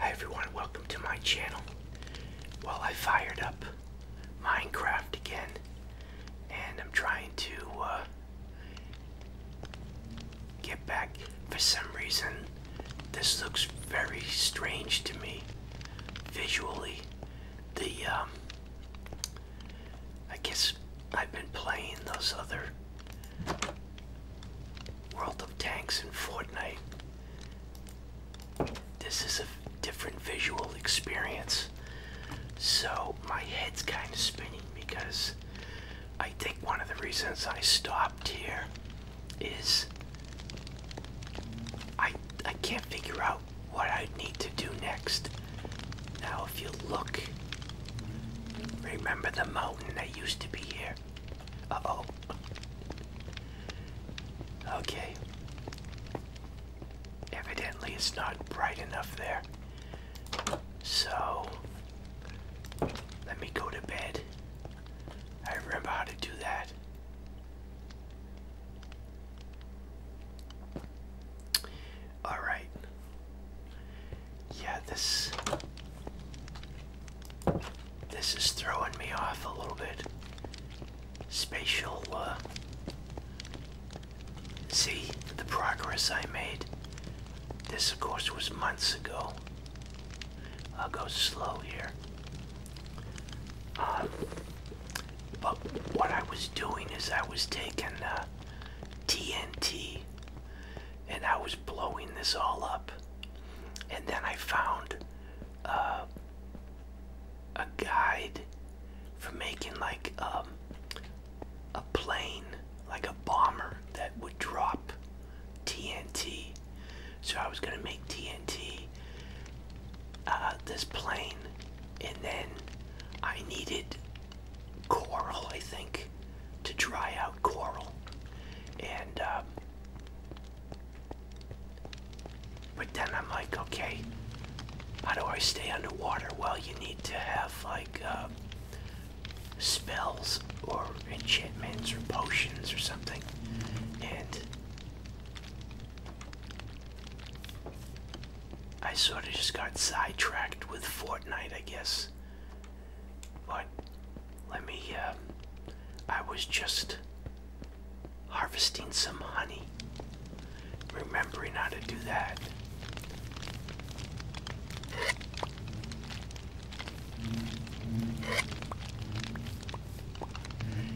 Hi everyone, welcome to my channel. Well, I fired up Minecraft again, and I'm trying to uh, get back. For some reason, this looks very strange to me visually. The, um, I guess I've been playing those other World of Tanks and Fortnite. This is a different visual experience. So my head's kind of spinning because I think one of the reasons I stopped here is I I can't figure out what I need to do next. Now if you look remember the mountain that used to be here. Uh-oh. Okay. Evidently it's not bright enough there. So let me go to bed. I remember how to do that. Alright yeah, this this is throwing me off a little bit. Spatial, uh, see the progress I made. This, of course, was months ago. I'll go slow here. Um, but what I was doing is I was taking uh, TNT and I was blowing this all up. And then I found uh, a guide for making like um, a plane, like a bomber that would drop TNT. So I was gonna make TNT, uh, this plane, and then I needed coral, I think, to dry out coral. And, uh, but then I'm like, okay, how do I stay underwater? Well, you need to have like uh, spells or enchantments or potions or something. And I sort of just got sidetracked with Fortnite, I guess. But let me, uh, I was just harvesting some honey, remembering how to do that.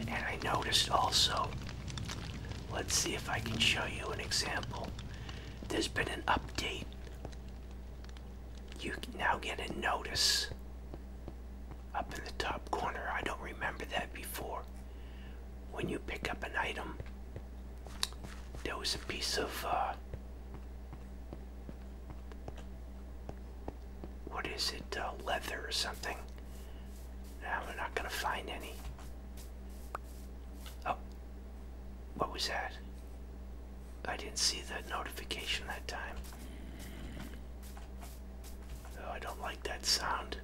And I noticed also, let's see if I can show you an example. There's been an update you now get a notice up in the top corner. I don't remember that before. When you pick up an item, there was a piece of uh, what is it, uh, leather or something. Now we're not going to find any. Oh, what was that? I didn't see that notification that time. Oh, I don't like that sound.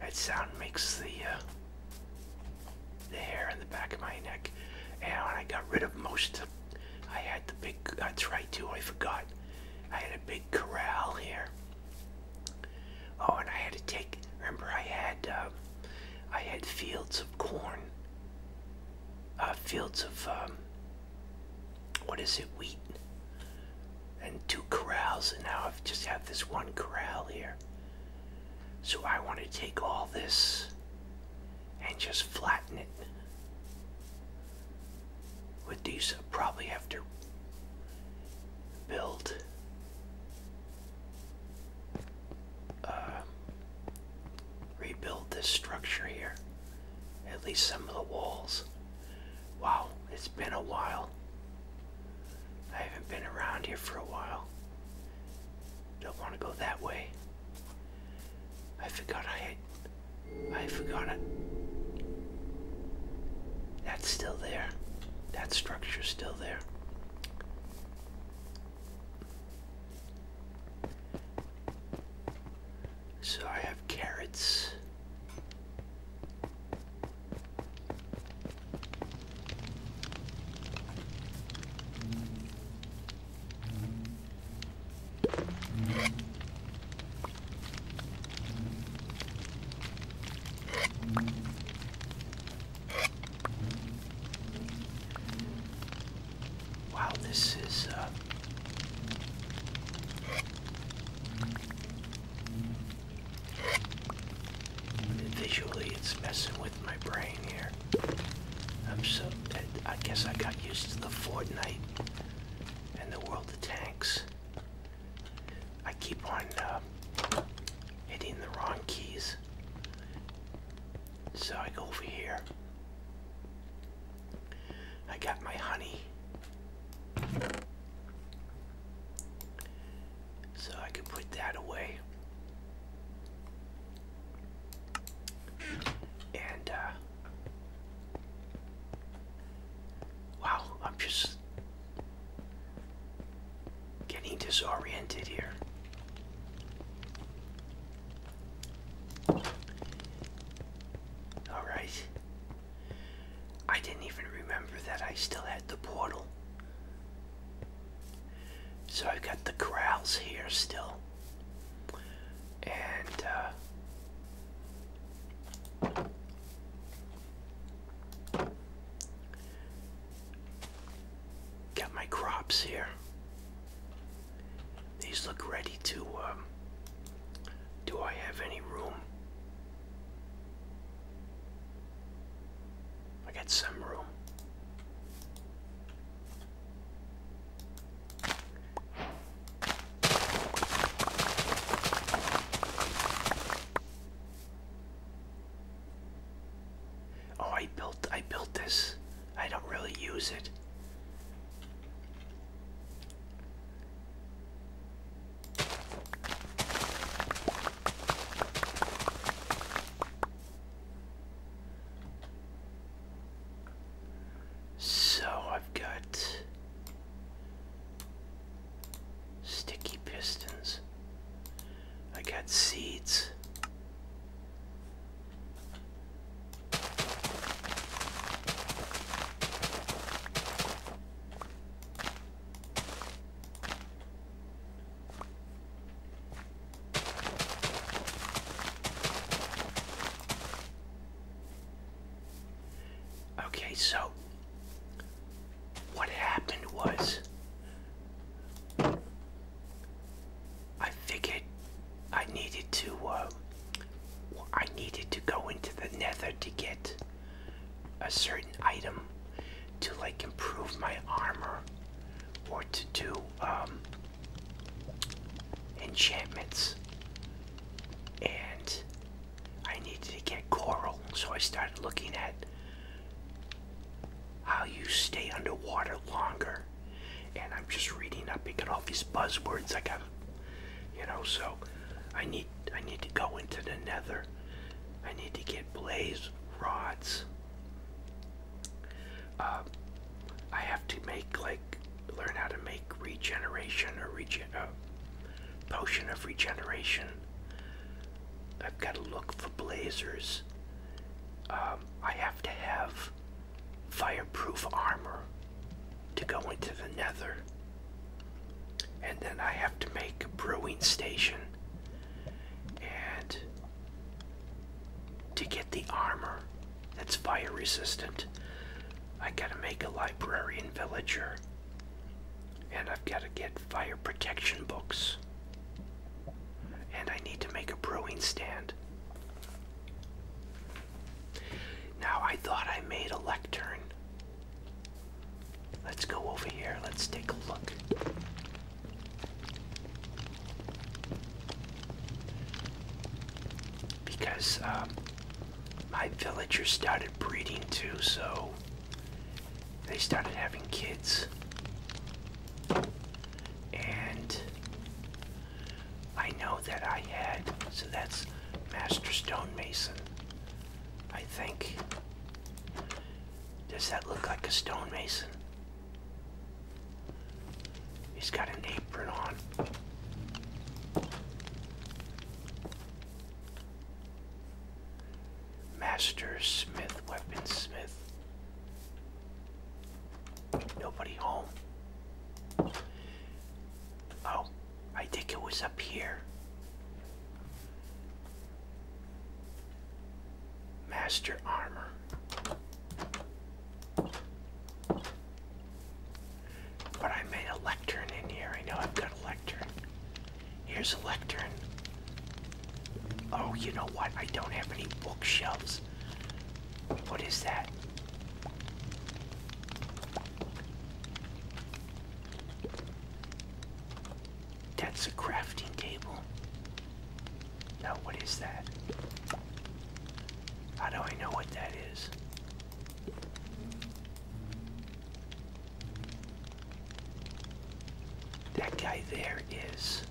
That sound makes the uh, the hair on the back of my neck. And when I got rid of most of, I had the big. That's right too. I forgot. I had a big corral here. Oh, and I had to take. Remember, I had uh, I had fields of corn, uh, fields of um, what is it, wheat, and two corrals, and now I've just have this one corral here. So I want to take all this and just flatten it. With these, I'll probably have to build uh, rebuild this structure here. At least some of the walls. Wow, it's been a while. I haven't been around here for a while. Don't want to go that way. I forgot I I forgot it. That's still there. That structure's still there. So I have carrots. Wow, this is uh, visually it's messing with my brain here. I'm so I guess I got used to the Fortnite and the World of Tanks. I keep on uh, hitting the wrong keys. So I go over here. I got my honey. So I can put that away. And, uh, wow, I'm just Getting disoriented here. Alright. I didn't even remember that I still had the portal. So I've got the corrals here still. And, uh, Got my crops here. These look ready to. Um, do I have any room? I got some room. Oh, I built I built this. I don't really use it. So I've got Sticky pistons. I got seeds. Okay, so what happened was I figured I needed to um, I needed to go into the nether to get a certain item to like improve my armor or to do um, enchantments and I needed to get coral so I started looking at how you stay underwater longer. And I'm just reading up, picking all these buzzwords like a, you know. So I need I need to go into the Nether. I need to get blaze rods. Um, I have to make like learn how to make regeneration or regen uh, potion of regeneration. I've got to look for blazers. Um, I have to have fireproof armor to go into the nether. And then I have to make a brewing station. And to get the armor that's fire resistant, I gotta make a librarian villager. And I've got to get fire protection books. And I need to make a brewing stand. Now, I thought I made a lectern. Let's go over here. Let's take a look. Because um, my villagers started breeding too, so they started having kids. And I know that I had, so that's Master Stonemason, I think. Does that look like a stonemason? He's got an apron on. Master Smith, Weaponsmith. Nobody home. Oh, I think it was up here. Master Armor. But I made a lectern in here. I know I've got a lectern. Here's a lectern. Oh, you know what? I don't have any bookshelves. What is that? That's a crafting table. Now, what is that? How do I know what that is? That guy there is.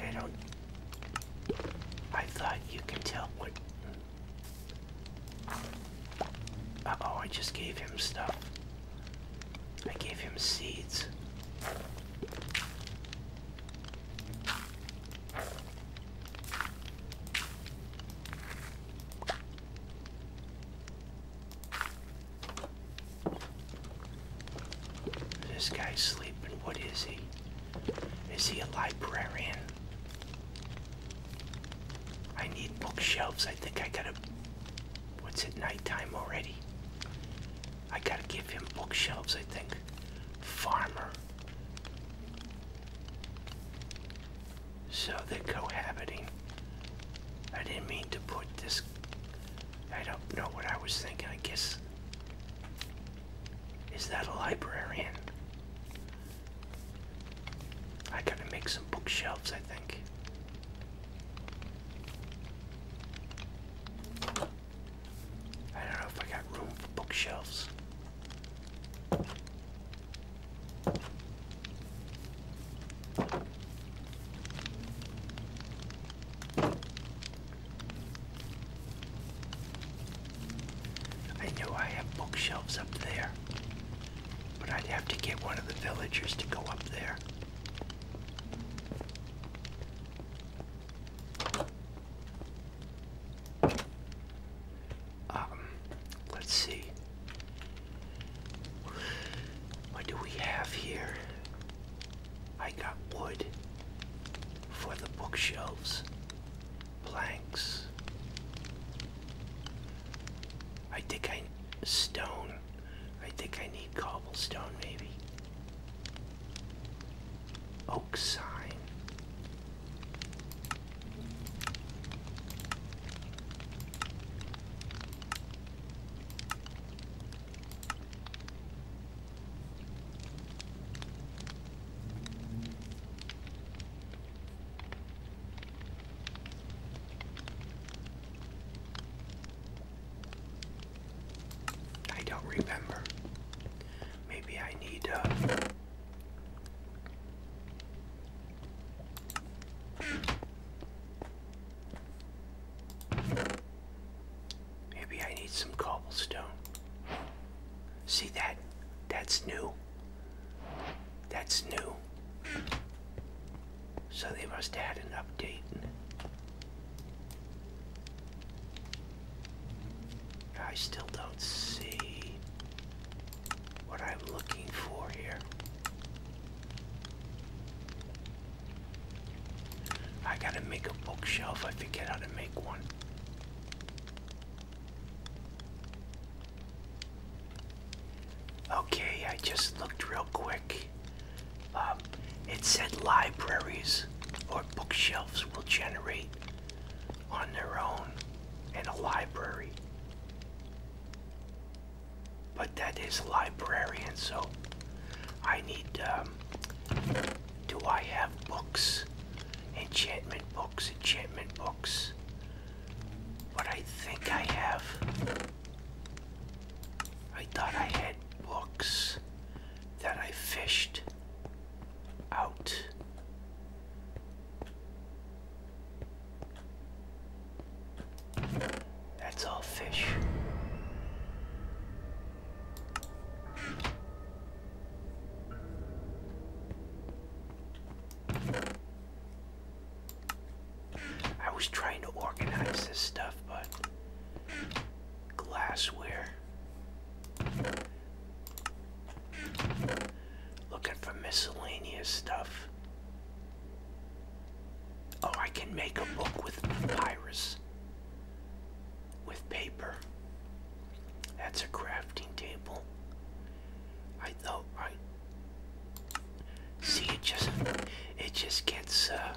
I don't. I thought you could tell what. oh, I just gave him stuff. I gave him seeds. This guy's sleeping. What is he? Is he a librarian? I need bookshelves. I think I gotta. What's it, nighttime already? I gotta give him bookshelves, I think. Farmer. So they're cohabiting. I didn't mean to put this. I don't know what I was thinking. I guess. Is that a librarian? I gotta make some bookshelves, I think. I don't know if I got room for bookshelves. I know I have bookshelves up there, but I'd have to get one of the villagers to go up there. Um, let's see. What do we have here? I got wood for the bookshelves, planks. I think I stone. I think I need cobblestone maybe. Oak sign. I don't remember. Maybe I need uh, Maybe I need some cobblestone. See that? That's new. That's new. So they must have had an update. I still don't see what I'm looking for here. I gotta make a bookshelf. I forget how to make one. Okay, I just looked real quick. Um, it said libraries or bookshelves will generate on their own in a library but that is librarian, so I need. Um, do I have books? Enchantment books, enchantment books. But I think I have. I thought I had books that I fished out. That's all fish. I was trying to organize this stuff, but glassware. Looking for miscellaneous stuff. Oh, I can make a book with virus. With paper. That's a crafting table. I thought oh, I see it just it just gets uh,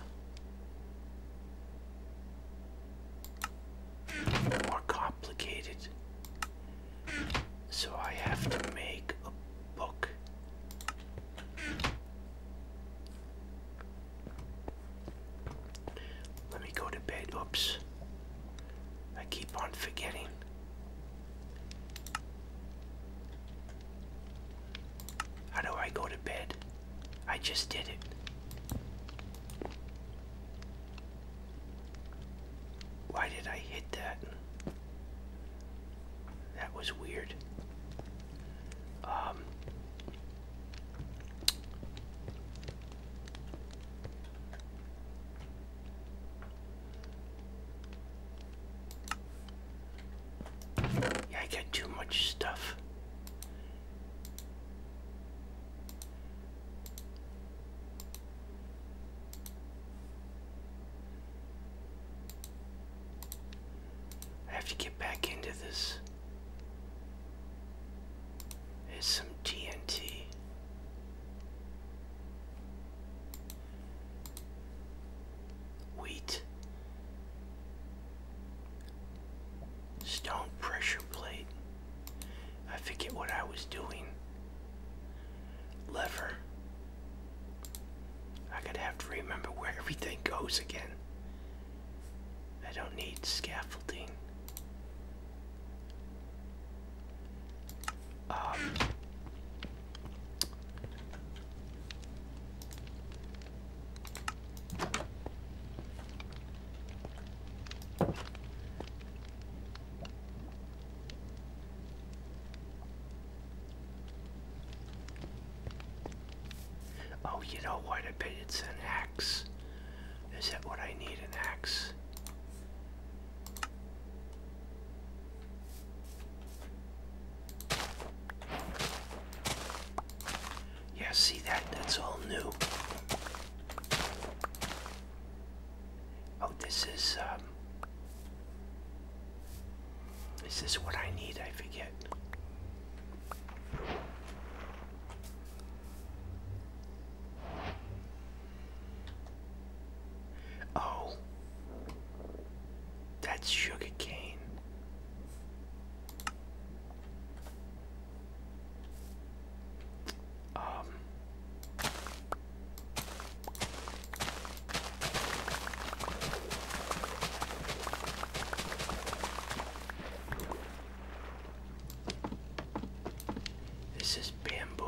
more complicated. So I have to make a book. Let me go to bed. Oops. I keep on forgetting. How do I go to bed? I just did it. Why did I hit that? That was weird. Um, I got too much stuff. I have to get back into this. There's some TNT. Wheat. Stone pressure plate. I forget what I was doing lever. I'm gonna have to remember where everything goes again. I don't need scaffolding. Um, Oh, you know what? I bet it's an axe. Is that what I need? An axe? Yeah, see that? That's all new. Oh, this is, um, is this what I need? I forget. Oh, that's sugar cane. Um, this is bamboo.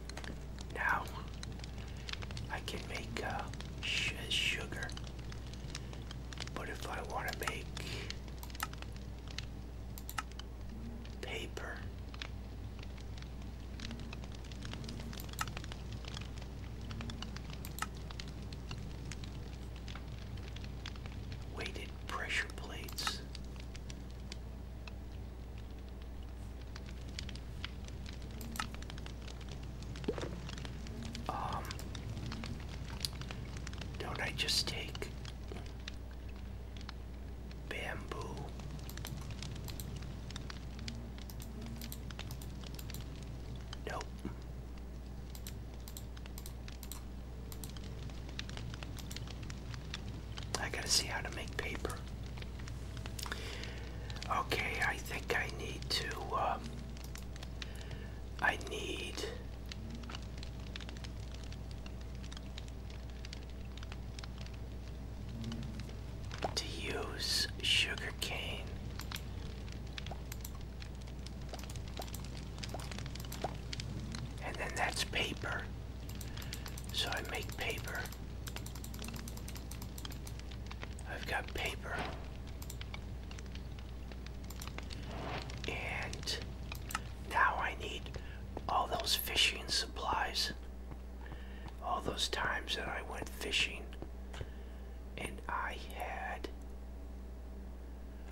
Now I can make uh, sugar, but if I want to make paper, weighted pressure plates. Um, don't I just take bamboo? Nope. I gotta see how to make paper. Okay, I think I need to, um, I need to use sugar cane. And then that's paper. So I make paper. I've got paper. And now I need all those fishing supplies. All those times that I went fishing and I had.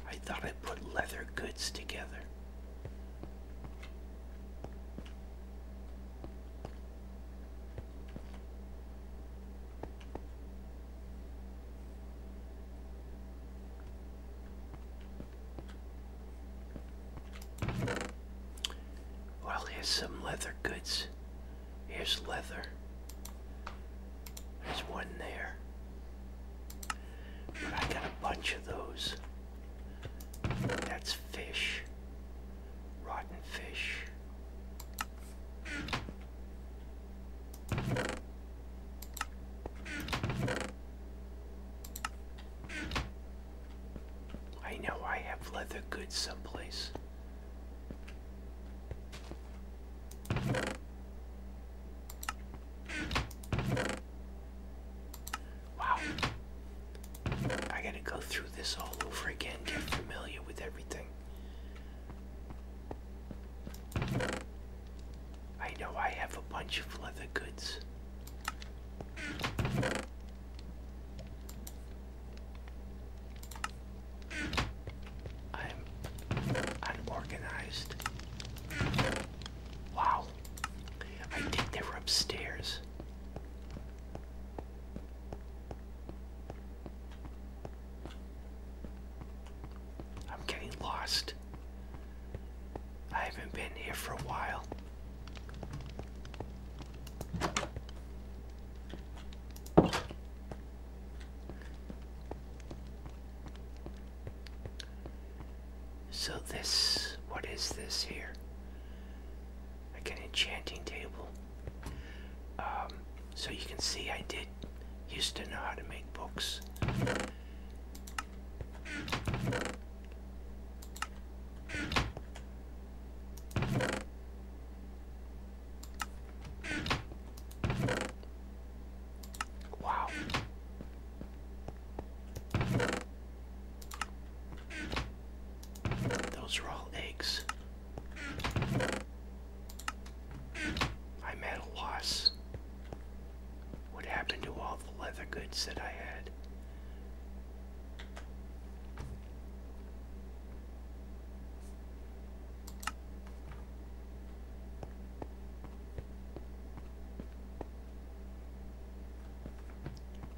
I thought I put leather goods together. Well, here's some leather goods. Here's leather. There's one there. I got a bunch of those. That's fish. Rotten fish. I know I have leather goods someplace. Wow. I gotta go through this all over again, get familiar with everything. I know I have a bunch of leather goods. I'm unorganized. Wow. I think they upstairs. I'm getting lost. I haven't been here for a while. So this, what is this here? Like an enchanting table. Um, so you can see I did used to know how to make books. Wow. Those are all eggs. I'm at a loss. What happened to all the leather goods that I had?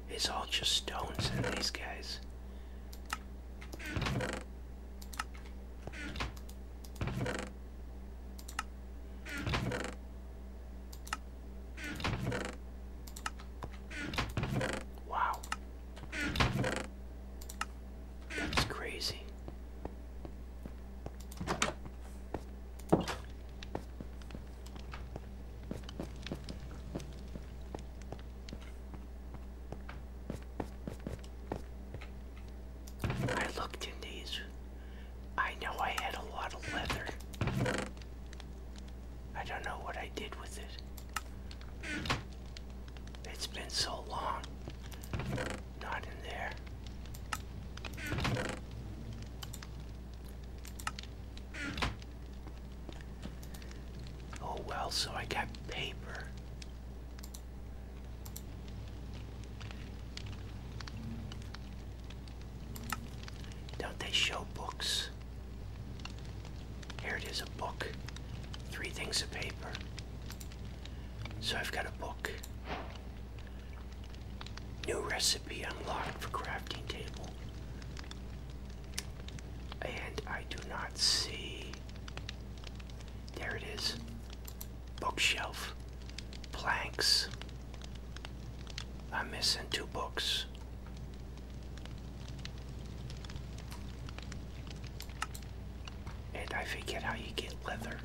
It's all just stones and these guys. Wow. That's crazy. I looked in these. I know I had a lot of leather. I don't know what I did with it. It's been so long. Not in there. Oh well, so I got paper. Don't they show books? Here it is, a book. Three things of paper. So I've got a book. New recipe unlocked for crafting table. And I do not see. There it is. Bookshelf. Planks. I'm missing two books. And I forget how you get leather.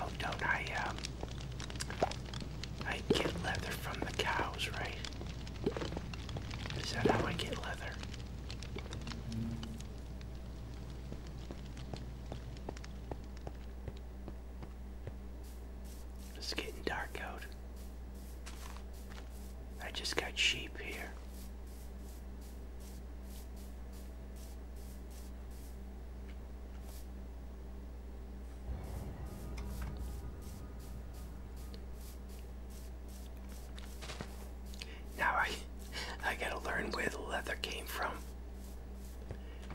Oh, don't I, um, I get leather from the cows, right? Is that how I get leather? It's getting dark out. I just got sheep here. Now I I gotta learn where the leather came from.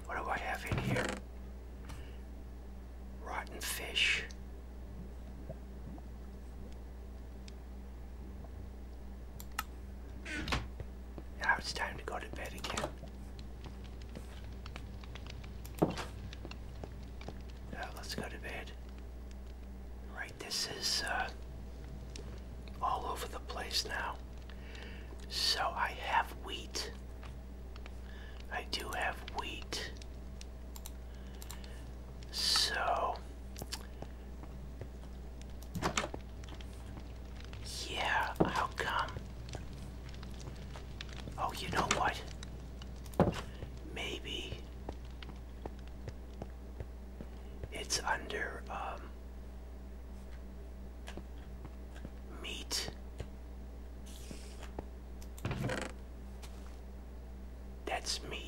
What do I have in here? Rotten fish. Now it's time to go to bed again. Uh, let's go to bed. Right, this is uh, all over the place now. So I have wheat. I do have wheat. So yeah, I'll come? Oh, you know what? Maybe it's under um meat. That's meat.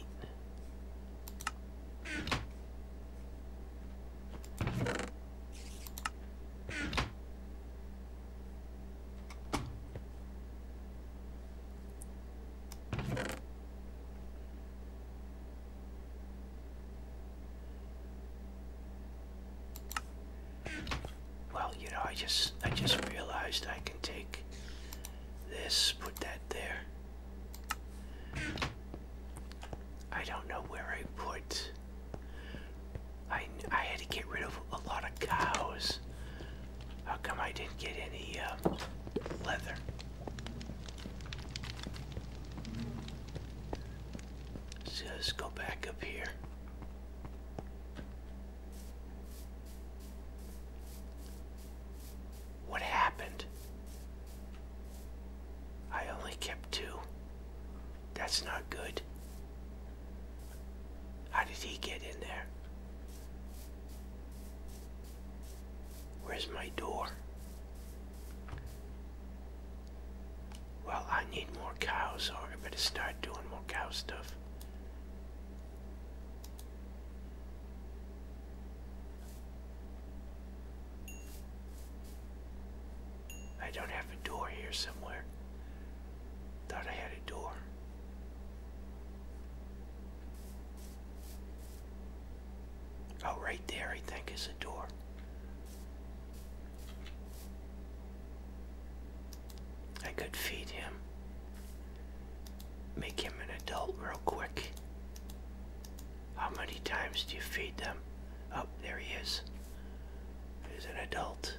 Well, you know, I just I just realized I can take this, put that there. I don't know where I put. I I had to get rid of a lot of cows. How come I didn't get any um, leather? Let's go back up here. What happened? I only kept two. That's not good. How did he get in there? Where's my door? Well, I need more cows, or I better start doing more cow stuff. I don't have a door here somewhere. Thought I had a door. Oh, right there, I think, is a door. I could feed him, make him an adult real quick. How many times do you feed them? Oh, there he is. He's an adult.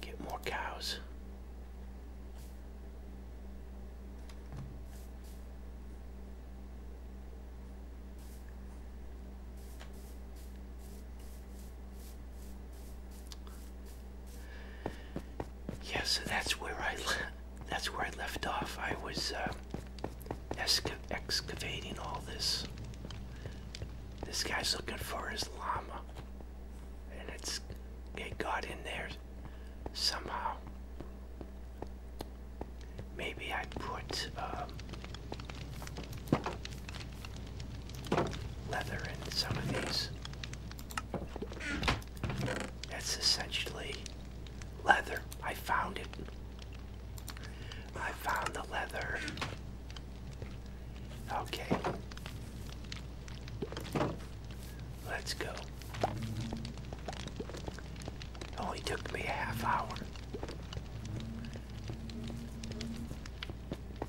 Get more cows. Yeah, so that's where I that's where I left off. I was uh, excavating all this. This guy's looking for his llama, and it's it got in there somehow. Maybe I put um, leather in some of these. That's essentially leather. I found it. I found the leather. Okay. Let's go. only took me a half hour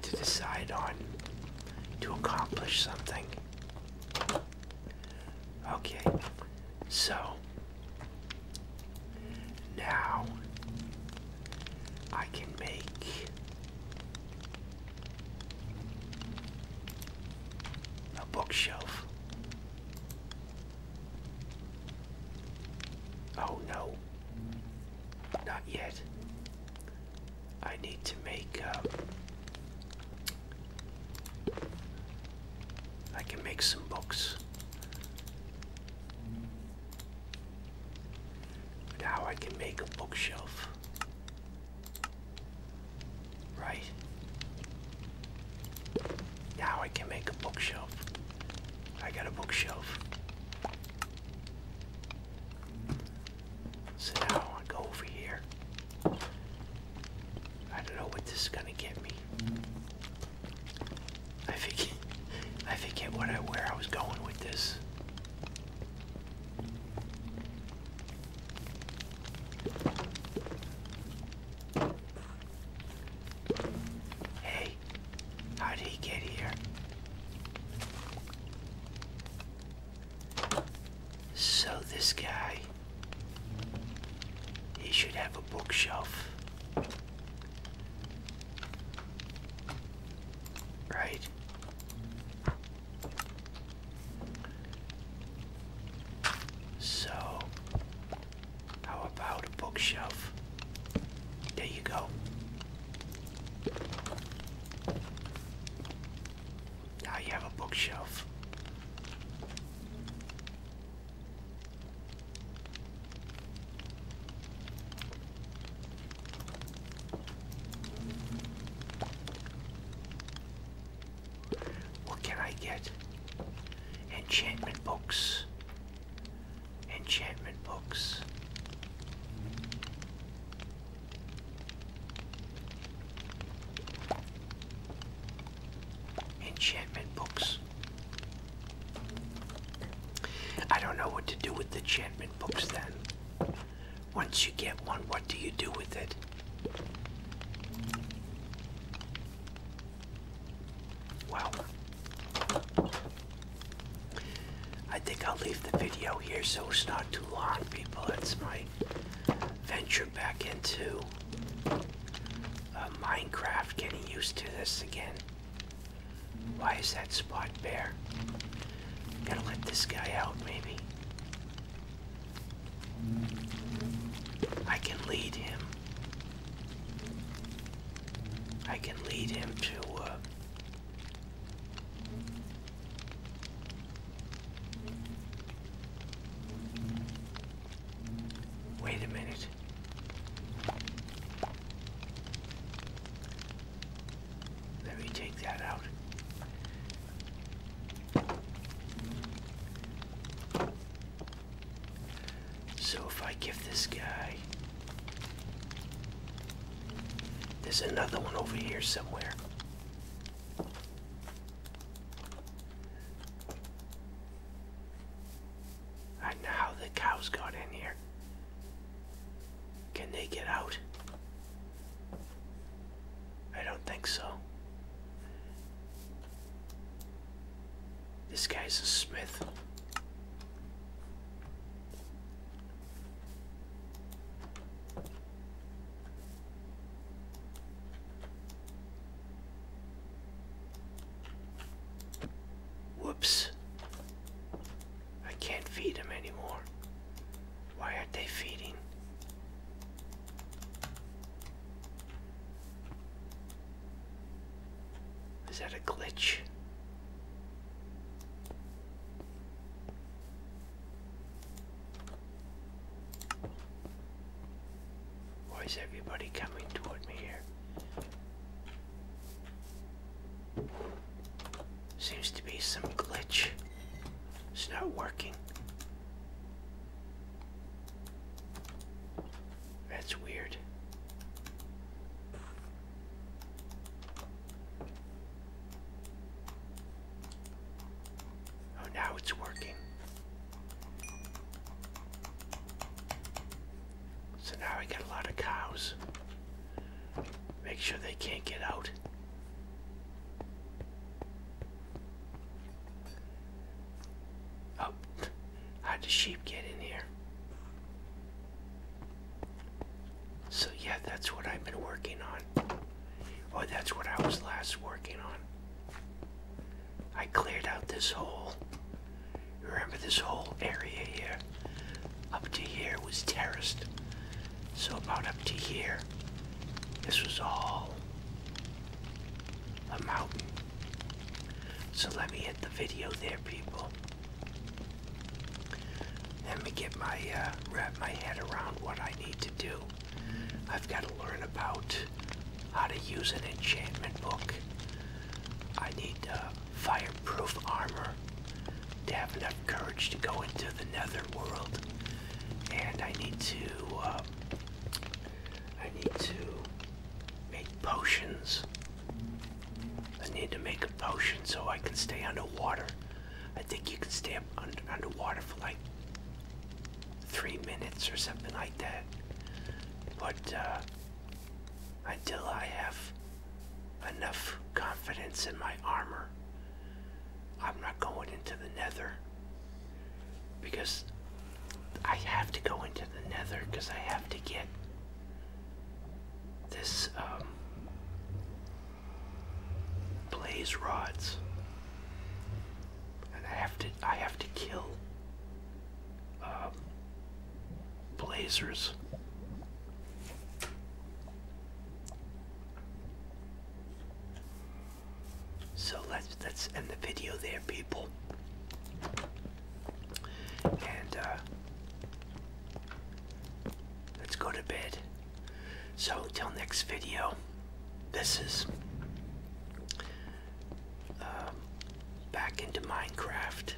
to decide on to accomplish something. Okay, so now I can make a bookshelf. Oh no. Not yet. I need to make uh, I can make some books. Now I can make a bookshelf. Right. Now I can make a bookshelf. I got a bookshelf. So now I go over here. I don't know what this is gonna get me. I forget I forget what I where I was going with this. Hey, how did he get here? So this guy, he should have a bookshelf. Right? So, how about a bookshelf? There you go. Now you have a bookshelf. What can I get? Enchantment books. Enchantment books. Enchantment books. I don't know what to do with the enchantment books then. Once you get one, what do you do with it? Well, I think I'll leave the video here so it's not too long, people. It's my venture back into uh, Minecraft, getting used to this again. Why is that spot bare? Gotta let this guy out, maybe. I can lead him. I can lead him to uh, Wait a minute. Let me take that out. So if I give this guy, there's another one over here somewhere. I know how the cows got in here. Can they get out? I don't think so. This guy's a smith. Whoops. I can't feed him anymore. Why are they feeding? Is that a glitch? Why is everybody coming toward me here? Seems to be some glitch. It's not working. That's weird. Oh, now it's working. So now I got a lot of cows. Make sure they can't get out. Oh, how'd the sheep get in here? So yeah, that's what I've been working on. Oh, that's what I was last working on. I cleared out this whole, remember this whole area here? Up to here was terraced. So about up to here, this was all a mountain. So let me hit the video there, people. Let me get my, uh, wrap my head around what I need to do. I've got to learn about how to use an enchantment book. I need uh, fireproof armor to courage to go into the netherworld, and I need to. Uh, I need to make potions. I need to make a potion so I can stay underwater. I think you can stay under, underwater for like three minutes or something like that. But uh, until I have enough confidence in my armor I'm not going into the nether because I have to go into the nether because I have to get this um, blaze rods and I have to I have to kill um, blazers so let's let's end the video there, people. And uh, let's go to bed. So till next video, this is um, back into Minecraft.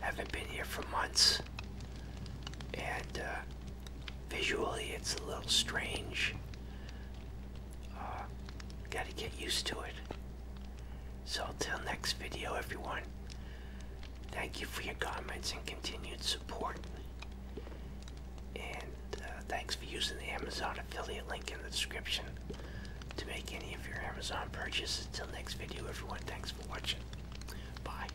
Haven't been here for months. And uh, visually, it's a little strange. Uh, Got to get used to it. So, till next video, everyone, thank you for your comments and continued support. And uh, thanks for using the Amazon affiliate link in the description to make any of your Amazon purchases. Till next video, everyone, thanks for watching. Bye.